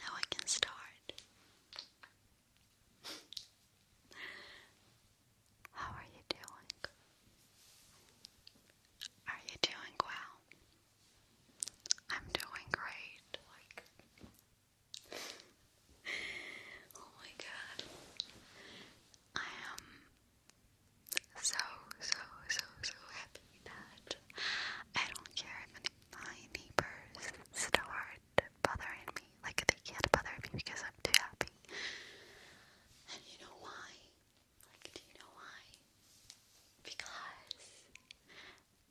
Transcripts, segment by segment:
Now I can start. How are you doing? Are you doing well? I'm doing great. Oh my god. I am so, so, so, so happy that I don't care if my neighbors start bothering me. Like, they can't bother me because I'm too happy. And you know why? Like, do you know why? Because,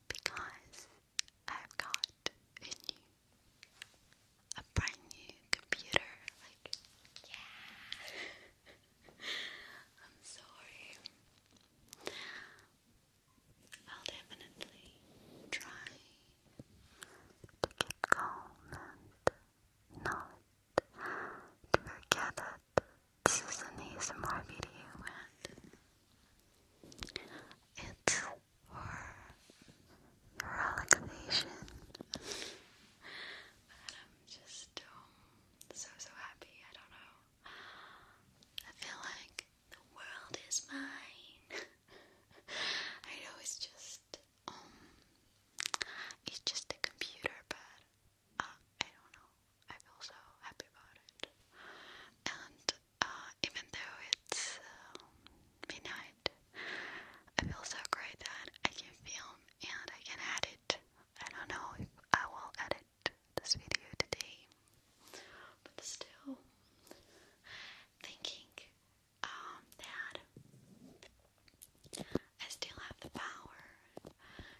because I've got a new, a brand new computer. Like, yeah. I'm sorry. I'll definitely try to keep calm and not to forget that this is an ASMR video and it's for but I'm just um, so so happy. I don't know. I feel like the world is mine. I know it's just um, it's just a computer, but uh, I don't know. I feel so happy about it. And uh, even though it's um, midnight, I feel so great that I can film and I can edit. I don't know if I will edit this video today, but still thinking um, that I still have the power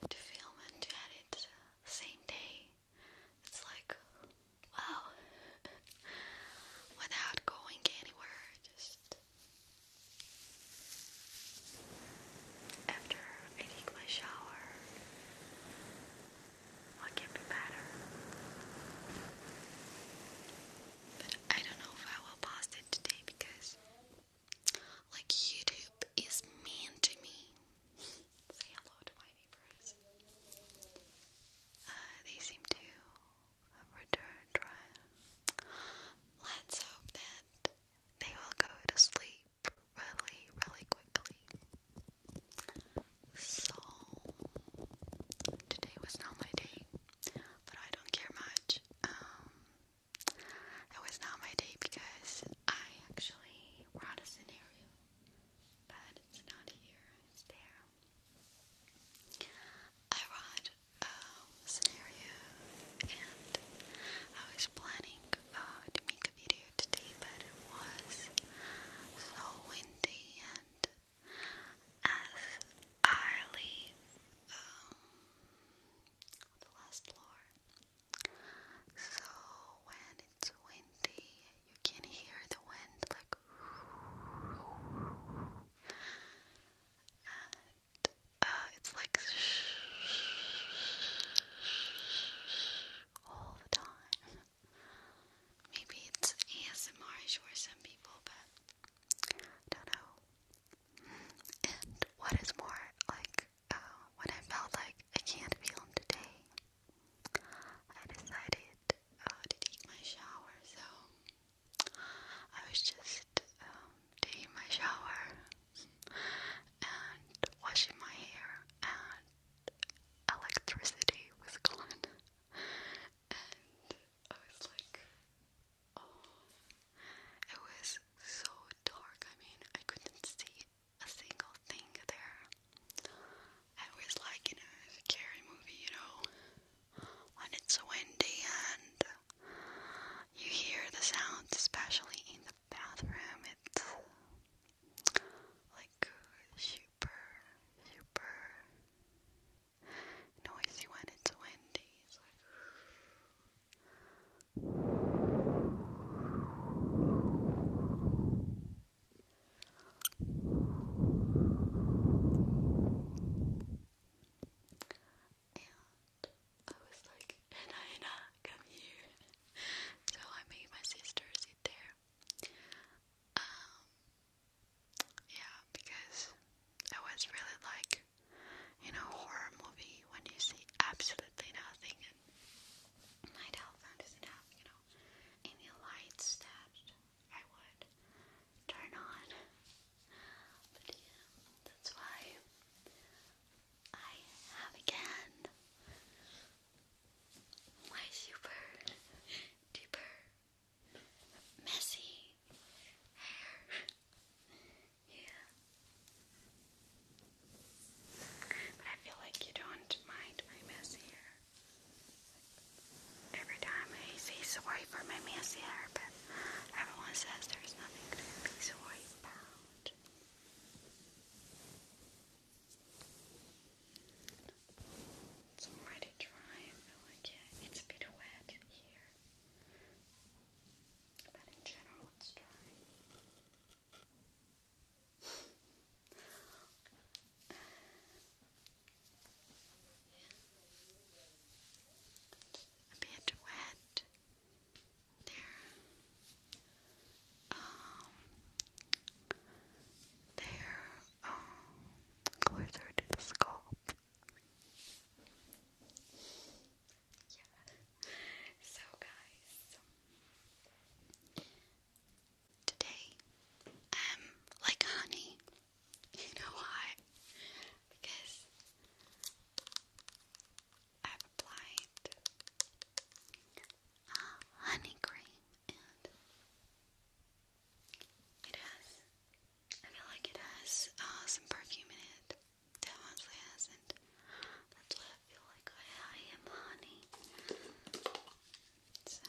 to film and to edit same day. It's like, wow, without going anywhere, just after I take my shower, what can be better? But I don't know if I will post it today because, like, YouTube is mean to me. Say hello to my neighbors. Uh, they seem to return try. Let's hope that they will go to sleep really, really quickly. So, today was not my day, but I don't care much. Um, it was not my day because I actually wrote a scenario, but it's not here, it's there. I wrote a um, scenario and I was planning. Uh, to make a video today, but it was so windy and as I leave um, the last floor, so when it's windy, you can hear the wind like uh, it's like all the time. Maybe it's asmr for some people, but I don't know. And what is more, like, uh, when I felt like I can't film today, I decided uh, to take my shower, so I was just um, taking my shower and washing my hair and electricity was gone. And I was like, oh, it was so dark. I mean, I couldn't see a single thing there. It was like in a scary movie, you know, when it's windy and you hear the sounds, especially in bathroom, it's like super, super noisy when it's windy. I was like, Anna, Anna, come here. so I made my sister sit there. Um, yeah, because I was really like, you know, horror movie when you see absolutely nothing and my telephone doesn't have, you know, any lights that I would turn on. But yeah, that's why I have again my super deeper messy hair. yeah. But I feel like you don't mind my messy hair. Every time I say sorry for my messy hair, but everyone says there's nothing to be sorry about. It's already dry, I feel like yeah, it's a bit wet here. But in general it's dry. a bit wet. They're, um, they're, um, closer to the scalp. Yeah. So, guys, today I'm um, like honey. You know why? Because I replied, uh, honey cream, and it has, I feel like it has uh, some perfume in it that honestly hasn't. That's why I feel like I, am honey. So,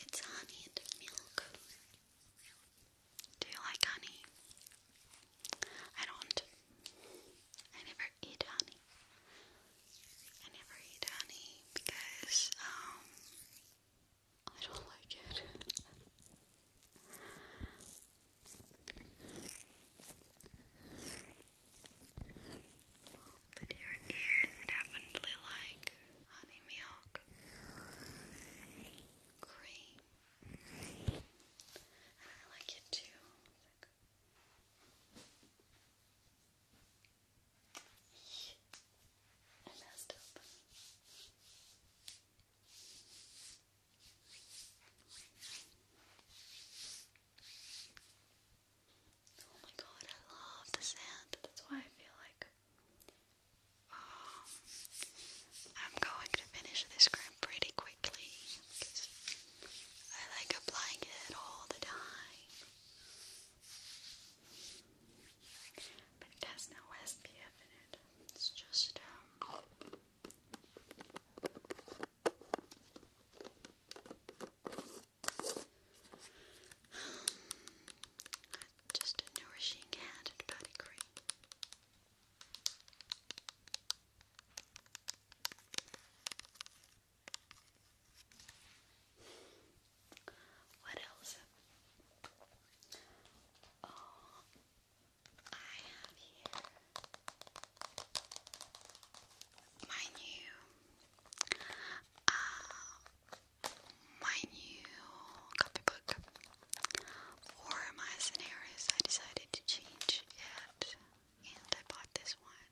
it's honey and milk. Do you like honey? I don't. I never eat honey. I never eat honey because um I don't like it. But you ears definitely like honey milk, cream, and I like it too. I messed up. Oh my god, I love the sand. That's why I feel like um, I'm going to finish this crimp pretty quickly I like applying it all the time. But it has no SPF in it. It's just um just a nourishing hand and body cream. What else? Oh, I have here my new uh, my new copybook. For my scenarios, I decided to change it, and I bought this one.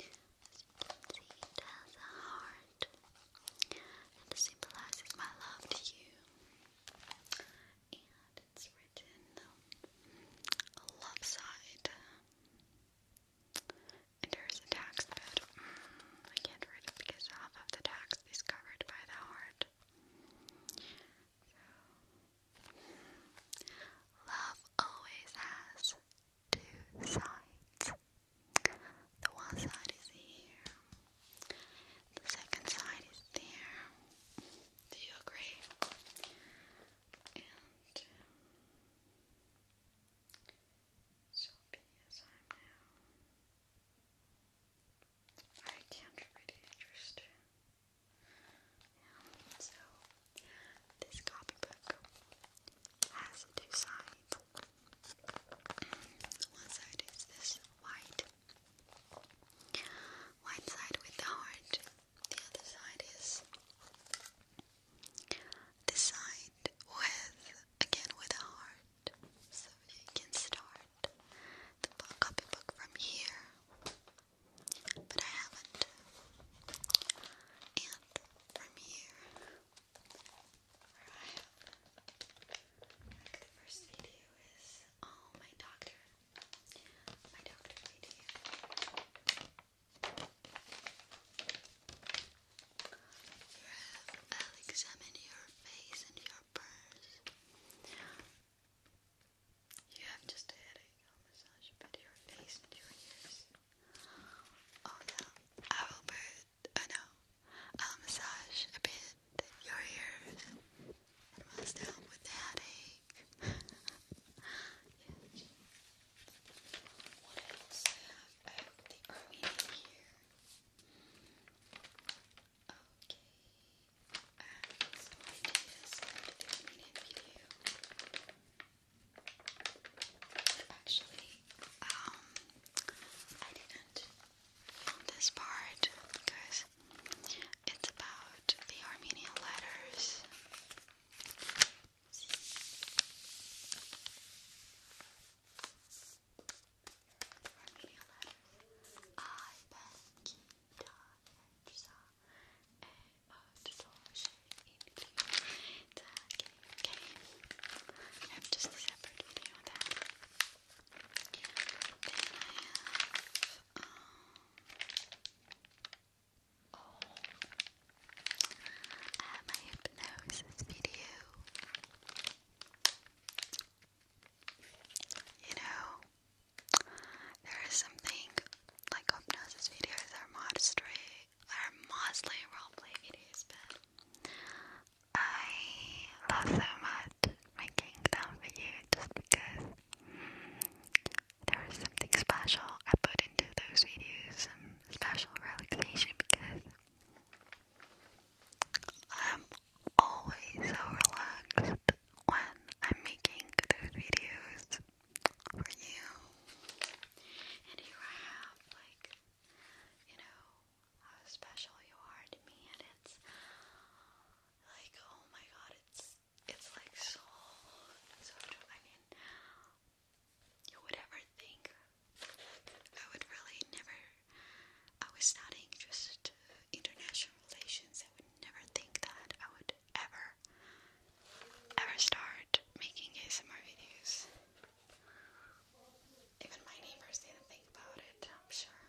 it has a heart, and symbolizes my love to you. And it's written um, a love side. Endures a tax bid. Mm, I can't read it because half of the tax is covered by the heart. love always has two sides. The one side is here, the second side is there. Do you agree? soapy as I am now. I can't really understand. so this copybook has two sides. One side is this white, white side with the heart. The other side is Decide with, again with a heart. So you can start the copybook from here. But I haven't. And from here, where like the first video is, oh, my doctor. My doctor video. I'll examine your face and your purse. You have a headache. I'll massage a your face and your ears. Oh no, I will massage a bit your ears and must help with the headache. What else I have? I have the Armenian here. Okay. And some ideas for Actually, um, I didn't film this part because it's about the Armenian letters. Your letters. I, Becky, Dodge, Saw, A, O, Dodge, E, T, K, I have just a separate video of that. Then I have, um, oh, uh, my hypnosis video. You know, there is something like hypnosis videos are mostly are mostly roleplay videos, but I love so much making them for you just because there is something special I put into those videos, some special relaxation because I'm always so relaxed when I'm making those videos for you. And you I have, like, you know, how special you are to me, and it's like, oh my god, it's it's like so, so. I you would ever think. I would really never, I was not interested international relations. I would never think that I would ever, ever start making ASMR videos. Even my neighbors didn't think about it, I'm sure.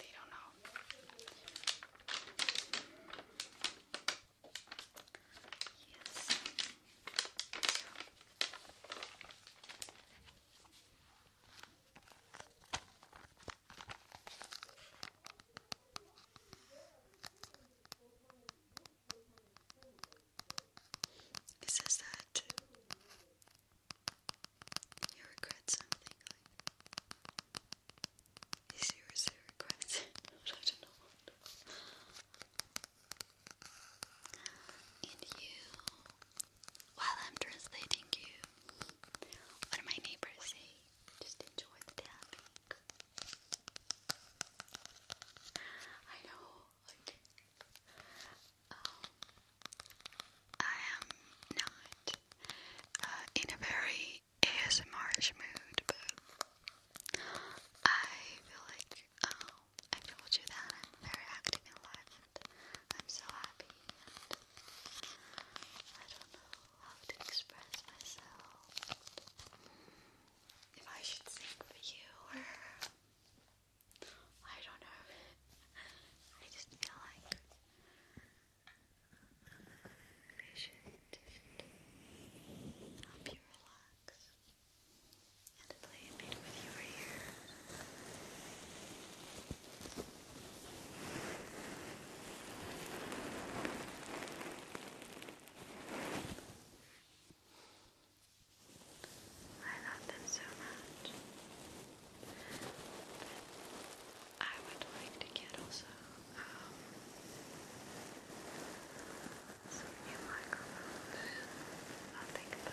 They don't know. Yes. It says that you regret something is yours a regret? I don't know. And you, while I'm translating you, what do my neighbors say? Just enjoy the tapping. I know, um, I am not uh, in a very ASMR mood, but I feel like, um, I told you that I'm very active in life. I'm so happy I don't know how to express myself. If I should sing for you or I don't know. I just feel like I should help you relax and play I love them so much. I would like to get also um, some new microphones. i think about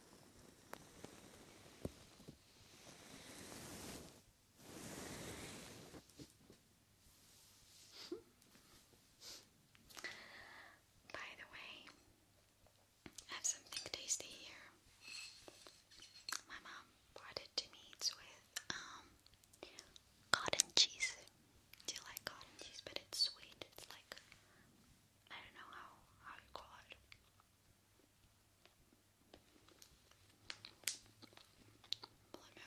By the way, I have something tasty here. My mom brought it to me. with um, cotton cheese. Do you like cotton cheese? But it's sweet. It's like I don't know how how you call Let me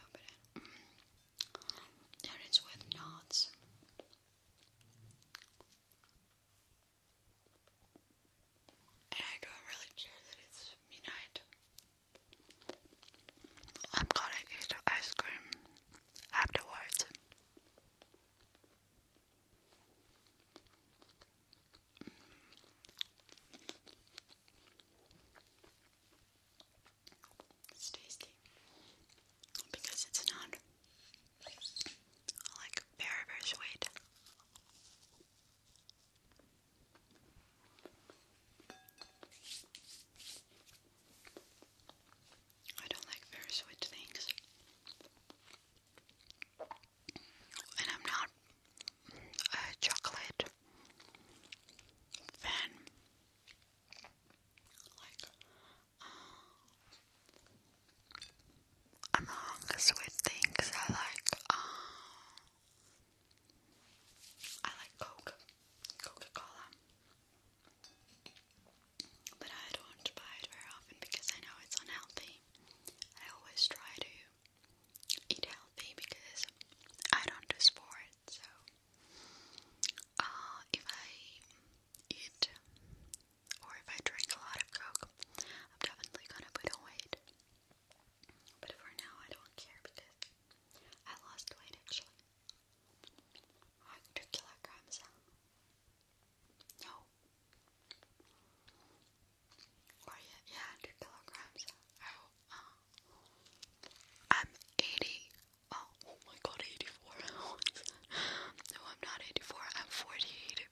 open it. Uh, it's with knots. I don't really care that it's midnight. I'm gonna eat ice cream afterwards. It's tasty because it's not like very, very sweet. I don't like very sweet things. And I'm not a chocolate fan. Like, uh, among sweet things, I like, uh, I like Coke, Coca Cola. But I don't buy it very often because I know it's unhealthy. I always try to eat healthy because I don't do sports, so uh, if I eat or if I drink a lot of Coke, I'm definitely gonna put on weight. But for now, I don't care because I lost weight actually. Like two kilograms. No. Or yeah, yeah, kilograms. Uh, I'm eighty. Oh, oh, my god, eighty-four. no, I'm not eighty-four. I'm forty-eight.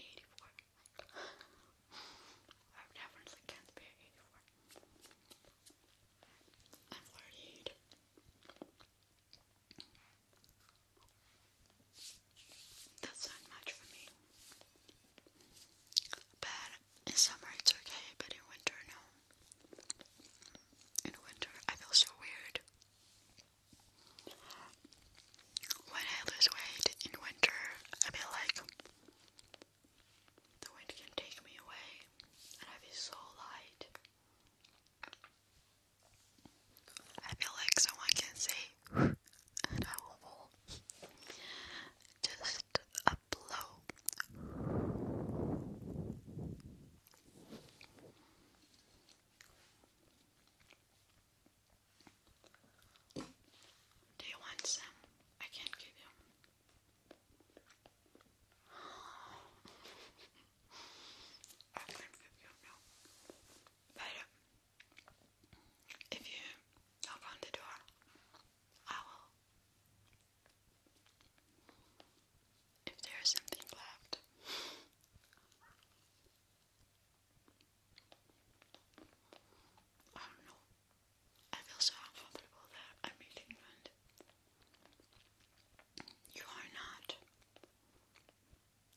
Eighty-four. I definitely can't be eighty-four. I'm forty-eight. That's not much for me. But in summer it's okay, but in winter, no. In winter, I feel so weird. When I lose weight in winter, I feel like the wind can take me away and I feel so light. I feel like someone can say, Just a blow. Do you want some? I can't give you. I you But if you knock the door, I will. If there is something left. I do I feel so uncomfortable that I'm in England. You are not.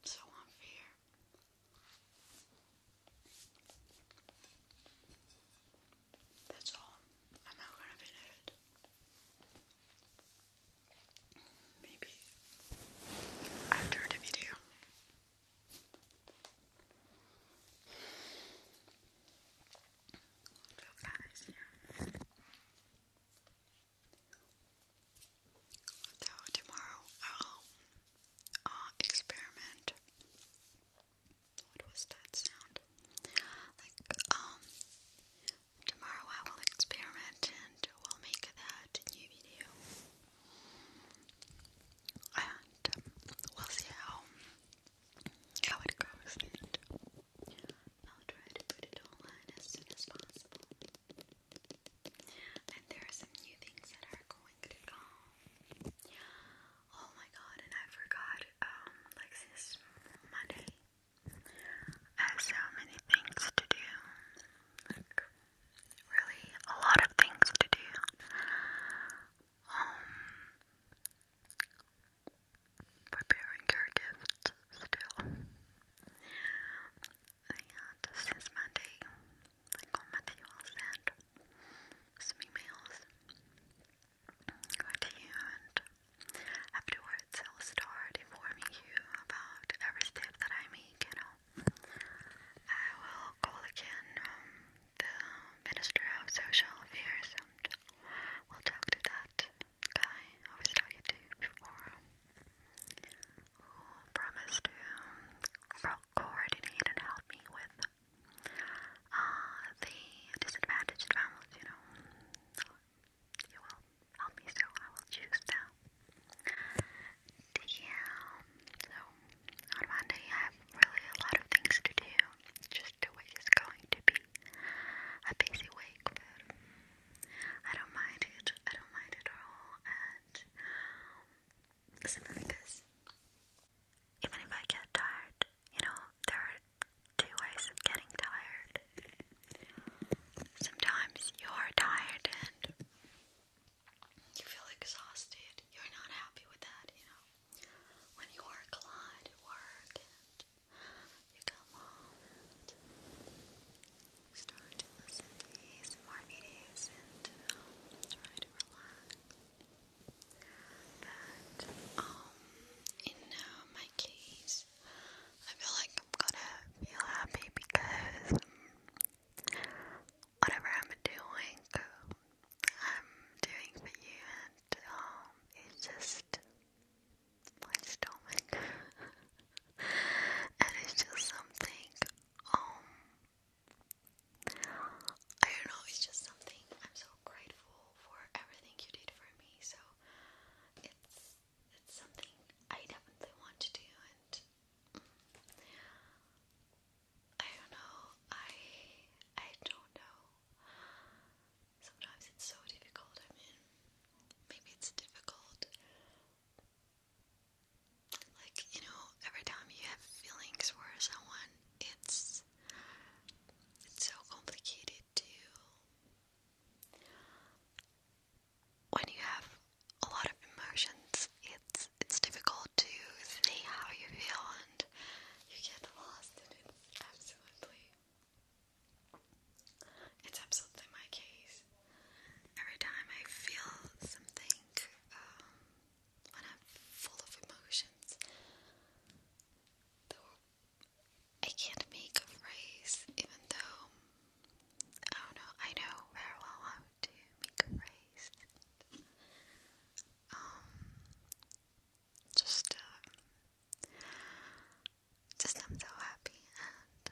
So unfair. That's all. I'm not gonna finish it. Maybe after the video. So guys, yeah. So tomorrow I'll uh, experiment. What was that sound? Like um, tomorrow I will experiment and we'll make that new video. And um, we'll see how how it goes. And I'll try to put it online as soon as possible. And there are some new things that are going to Oh my god, and I forgot, um, like since Monday, I have many things to do. Like, really, a lot of things to do. Um, preparing your gift still. Ayan, since Monday, like on Monday you all send some emails to you and afterwards I'll start informing you about every step that I make, you know. I will call again the Minister of Social Affairs we'll talk to that guy I was talking to before promised to coordinate and help me with uh, the disadvantaged families, you know. You will help me, so I will choose them. Yeah, so on Monday I have really a lot of things to do. Just the week is going to be a busy week, I don't mind it. I don't mind it at all, because even if I get tired, you know, there are two ways of getting tired. Sometimes you're tired and you feel exhausted, you're not happy with that, you know. When you work a lot at work and you come home start to listen to ASMR videos and um, try to relax. But um, in uh, my case, I feel like I'm gonna feel happy because um, whatever I'm doing, I'm doing for you, and it's just my stomach, and it's just something um, I don't know, it's just something I'm so grateful for everything you did for me, so it's it's something I definitely want to do and mm, I don't know, I I don't know. Sometimes it's so difficult, I mean maybe it's difficult like, you know, every time you have feelings for someone, it's it's so complicated too. when you have a lot of emotions, it's it's difficult to see how you feel and you get lost and it's absolutely it's absolutely my case. Every time I feel something, um, when I'm full of emotions, I can't make a phrase, even though I don't know, I know very well how to make a phrase. Um, just, uh, just I'm so happy and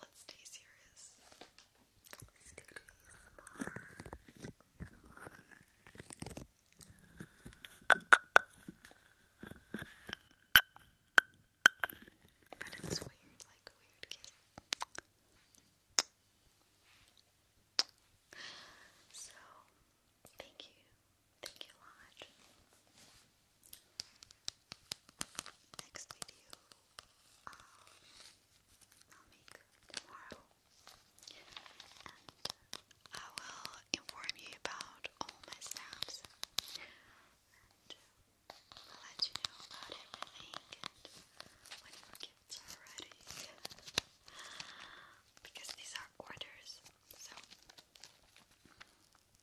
Let's stay serious. But it weird, like weird So, thank you. Thank you, Lodge. Next video um, I'll make tomorrow, and uh, I will inform you about all my steps and uh, let you know about everything when your gifts are ready. Because these are orders, so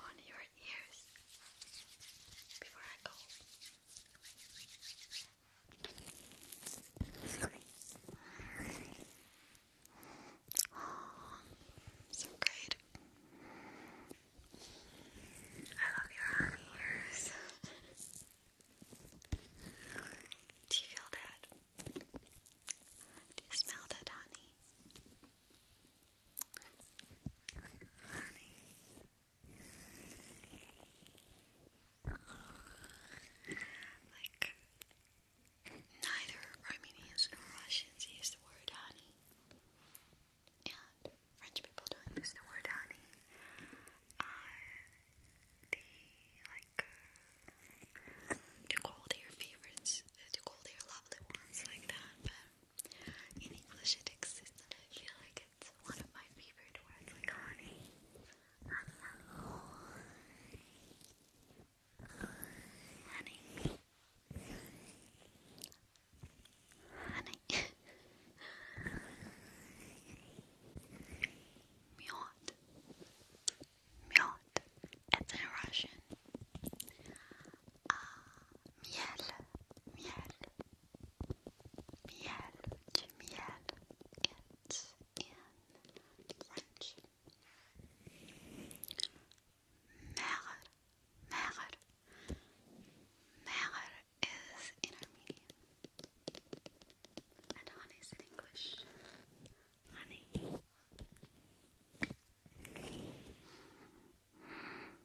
on your ears before I go. Oh, so great. I love your arm Do you feel that? Do you smell that, honey? Honey. Like, neither Armenians nor Russians use the word honey. And French people don't use the word honey. Are the, like, uh, to call their favorites, to call their lovely ones like that, but in English it exists and I feel like it's one of my favorite words, like honey. Honey. Honey. Miot. Miot. It's in Russian. Uh, miel. Miel. Miel, du miel. It's in French. Mer, mer, mer is in Armenian. And honey is in English. Honey.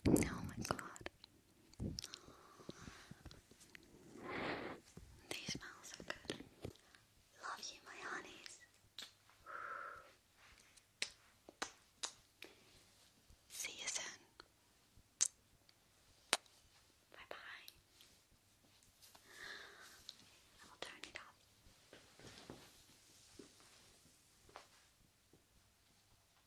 Oh my god. They smell so good. Love you, my honeys. See you soon. Bye bye. I will turn it off.